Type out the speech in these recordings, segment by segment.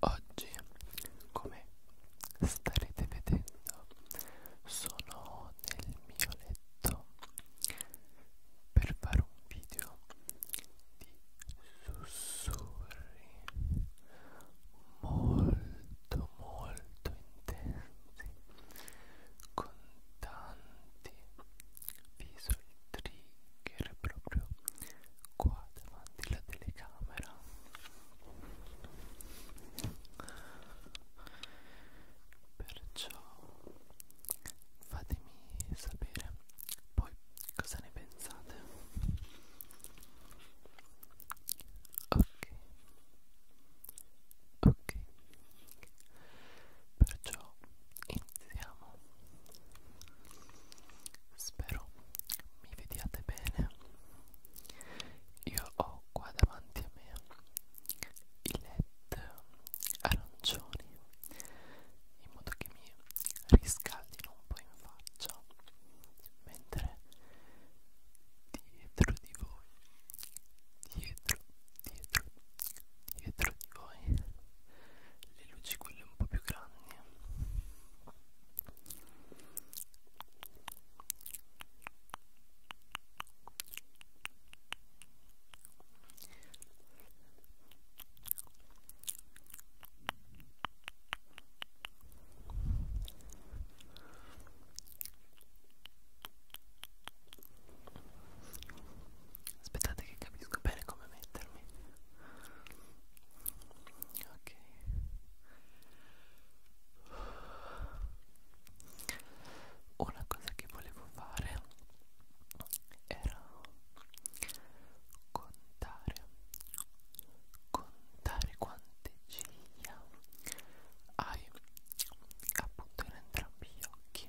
Oggi, come starete vedendo, sono nel mio letto per fare un video di sussurri molto molto intensi con tanti visual trigger che era proprio qua davanti alla telecamera perciò fatemi sapere poi cosa ne pensate ok ok perciò iniziamo spero mi vediate bene io ho qua davanti a me i led arancioni in modo che mi riscaldino un po' in faccia mentre dietro di voi dietro dietro dietro di voi le luci quelle un po' più grandi eh. Aspettate che capisco bene come mettermi ok una cosa che volevo fare era contare contare quante ciglia hai appunto in entrambi gli occhi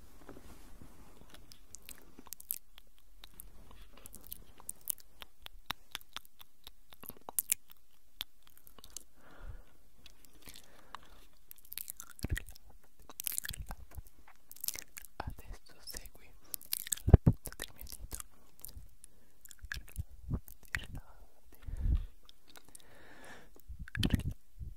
Adesso segui la punta del mio dito. Rilassati, rilassati. Rilassati, rilassati.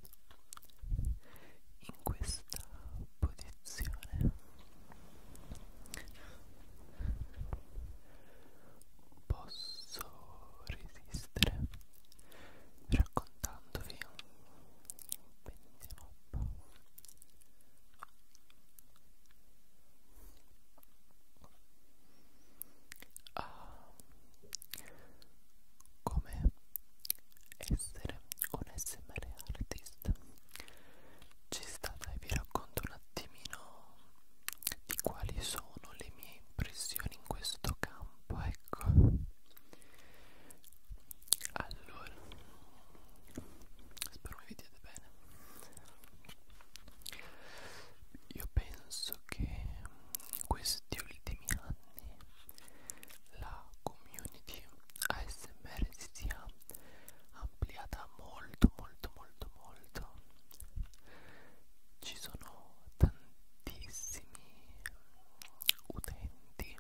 in questa posizione posso resistere raccontandovi vediamo un po' a ah, come essere un SMR artist ci stata e vi racconto un attimino di quali sono le mie impressioni in questo campo ecco allora spero mi vediate bene io penso che in questo questi ultimi anni la community ASMR si sia ampliata molto molto molto molto ci sono tantissimi utenti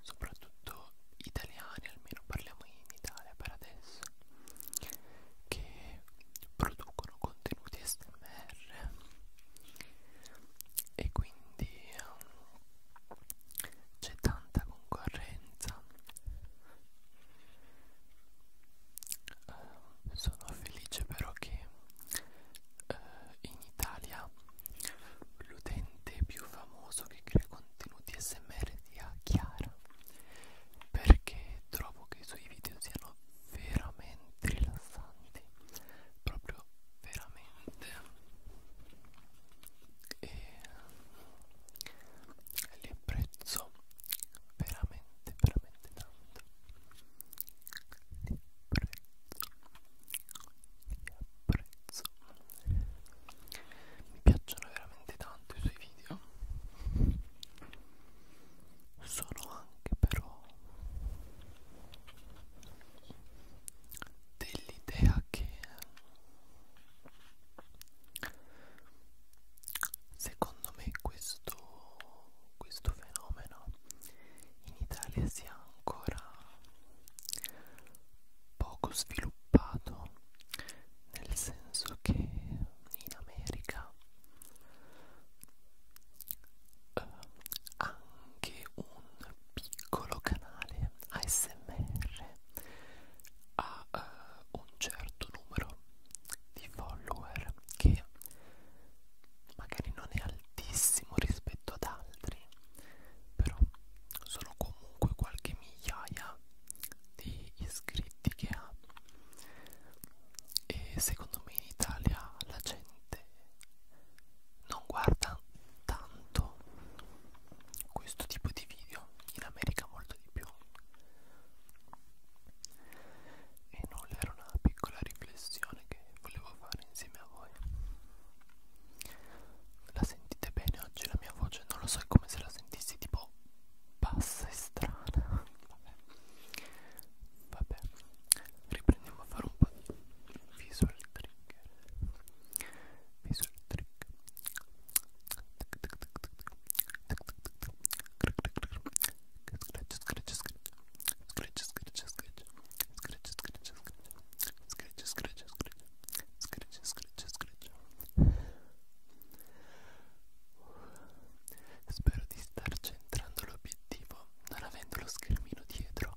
soprattutto italiani almeno parliamo in Italia per adesso che producono contenuti ASMR e quindi um, c'è tanta concorrenza uh, sono felice però che uh, in Italia l'utente più famoso che crea contenuti smr sia Chiara perché trovo che i suoi video siano veramente rilassanti proprio veramente e li apprezzo veramente veramente tanto li apprezzo li apprezzo mi piacciono veramente tanto i suoi video sono anche però dell'idea che secondo me questo, questo fenomeno in Italia sia ancora poco sviluppato nel senso che in America eh, anche un piccolo canale ASMR ha uh, un certo numero di follower che magari non è altissimo rispetto ad altri però sono comunque qualche migliaia di iscritti che ha e secondo me in Italia la gente non guarda tanto questo tipo di video in America molto di più e nulla era una piccola riflessione che volevo fare insieme a voi la sentite bene oggi la mia voce non lo so è come se la sentissi tipo bassa e strana Vabbè. Vabbè, riprendiamo a fare un po' di visual trick. Visual trick. Scratch, scratch, scratch. Scratch, scratch, scratch. Scratch, scratch, scratch. Scratch, scratch, scratch. Scratch, scratch, scratch. Spero di star centrando l'obiettivo non avendo lo schermino dietro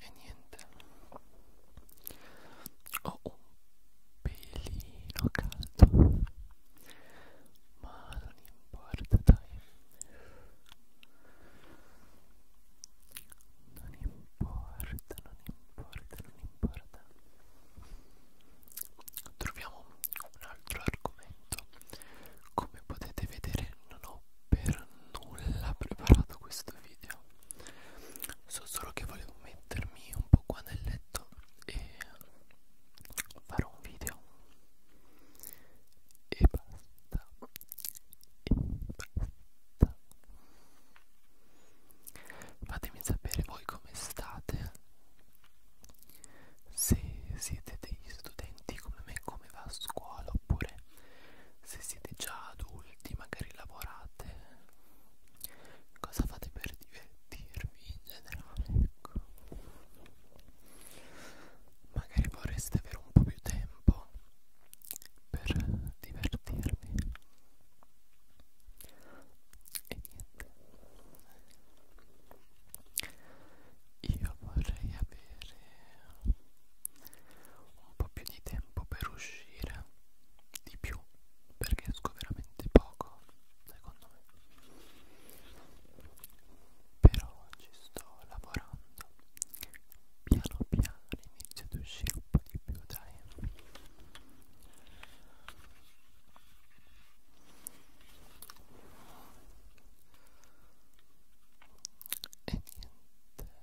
e niente ho un pelino caldo ma non importa dai non importa non importa non importa troviamo un altro argomento come potete vedere non ho per nulla preparato questo video so solo che volevo mettermi un po' qua nel letto e farò un video e basta e basta fatemi sapere voi come state se siete degli studenti come me come va a scuola oppure se siete già adulti magari lavorate cosa fate per divertirvi in generale ecco magari vorreste avere un po' più tempo per divertirvi e niente io vorrei avere un po' più di tempo per uscire di più perché esco veramente poco secondo me però ci sto lavorando piano piano inizio ad uscire un po' di più dai e niente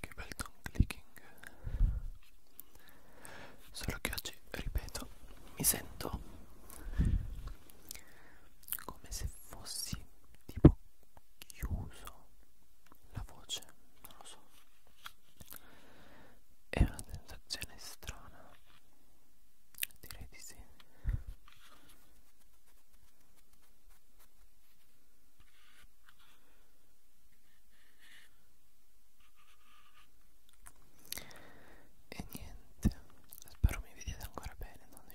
Che bel tongue clicking. Solo che oggi, ripeto, mi sento come se fossi tipo chiuso la voce non lo so è una sensazione strana direi di sì e niente spero mi vediate ancora bene non vi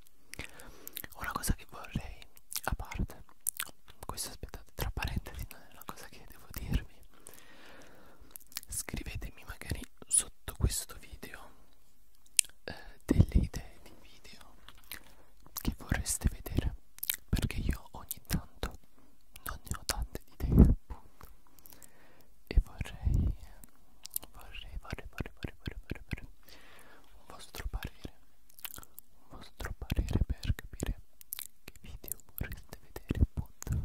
Una cosa che vorrei, a parte, questo aspettate, tra parentesi non è una cosa che devo dirvi, scrivetemi magari sotto questo video eh, delle idee di video che vorreste vedere, perché io ogni tanto non ne ho tante di idee appunto e vorrei eh, vorrei, vorrei, vorrei, vorrei, vorrei, vorrei, vorrei un vostro parere, un vostro parere per capire che video vorreste vedere appunto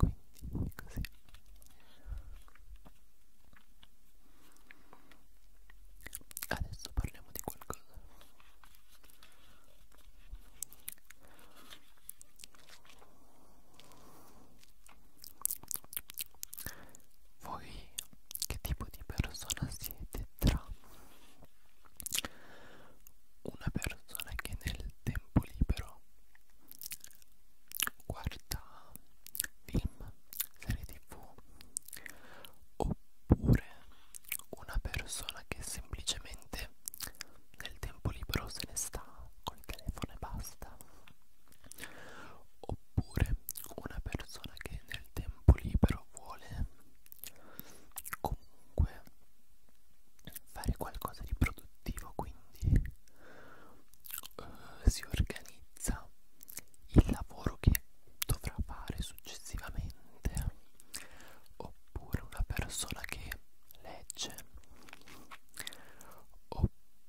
quindi così adesso parliamo di qualcosa voi che tipo di persona siete tra una persona che nel tempo libero guarda film, serie tv oppure una persona che semplicemente nel tempo libero se ne sta col telefono e basta oppure una persona che nel tempo libero vuole comunque fare qualcosa di produttivo quindi uh, si organizza il lavoro che dovrà fare successivamente oppure una persona che legge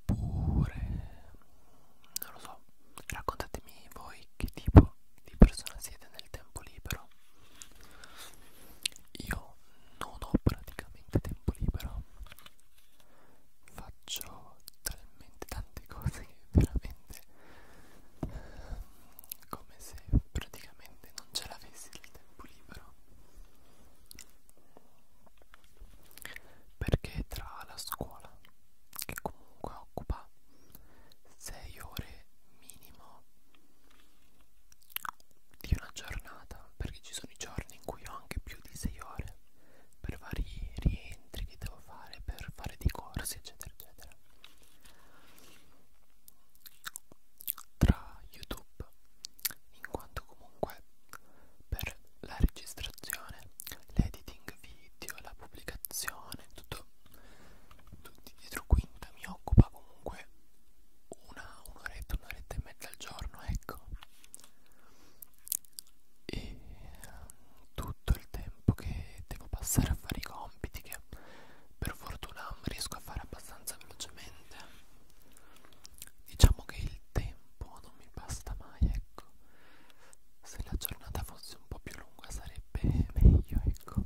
Oppure, non lo so, raccontatemi voi che tipo di persona siete nel tempo libero. Io non ho praticamente tempo libero. Faccio talmente tante cose che veramente eh, come se praticamente non ce l'avessi il tempo libero perché tra la scuola che comunque occupa 6 ore minimo di una giornata perché ci sono i giorni in cui ho anche più di 6 ore per vari rientri che devo fare per fare dei corsi eccetera eccetera tra youtube in quanto comunque per la registrazione, l'editing video, la pubblicazione, tutto, tutti dietro quinta mi occupa comunque una un'oretta, un'oretta e mezza al giorno, ecco. E ehm, tutto il tempo che devo passare a fare i compiti che per fortuna riesco a fare abbastanza velocemente diciamo che il tempo non mi basta mai ecco se la giornata fosse un po' più lunga sarebbe meglio ecco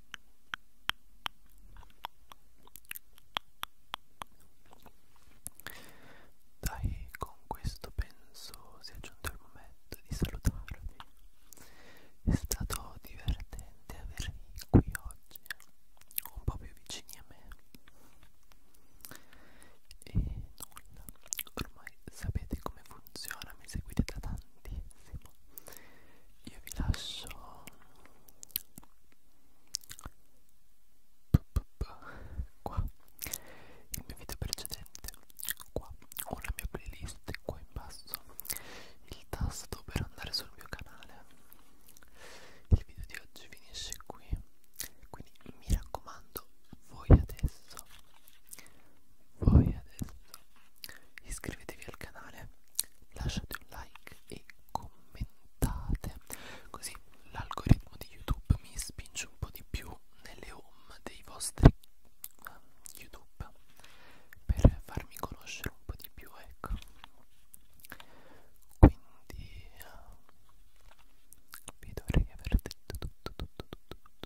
Dai, con questo penso sia giunto il momento di salutarvi. È stato divertente avervi qui oggi, un po' più vicini a me. E nulla, ormai sapete come funziona, mi seguite da tanto tantissimo io vi lascio qua il mio video precedente qua ho la mia playlist qua in basso il tasto per andare sul mio canale il video di oggi finisce qui quindi mi raccomando voi adesso poi adesso iscrivetevi al canale, lasciate un like e commentate, così l'algoritmo di YouTube mi spinge un po' di più nelle home dei vostri um, YouTube per farmi conoscere un po' di più, ecco. Quindi uh, vi dovrei aver detto tutto, tutto, tutto, tutto,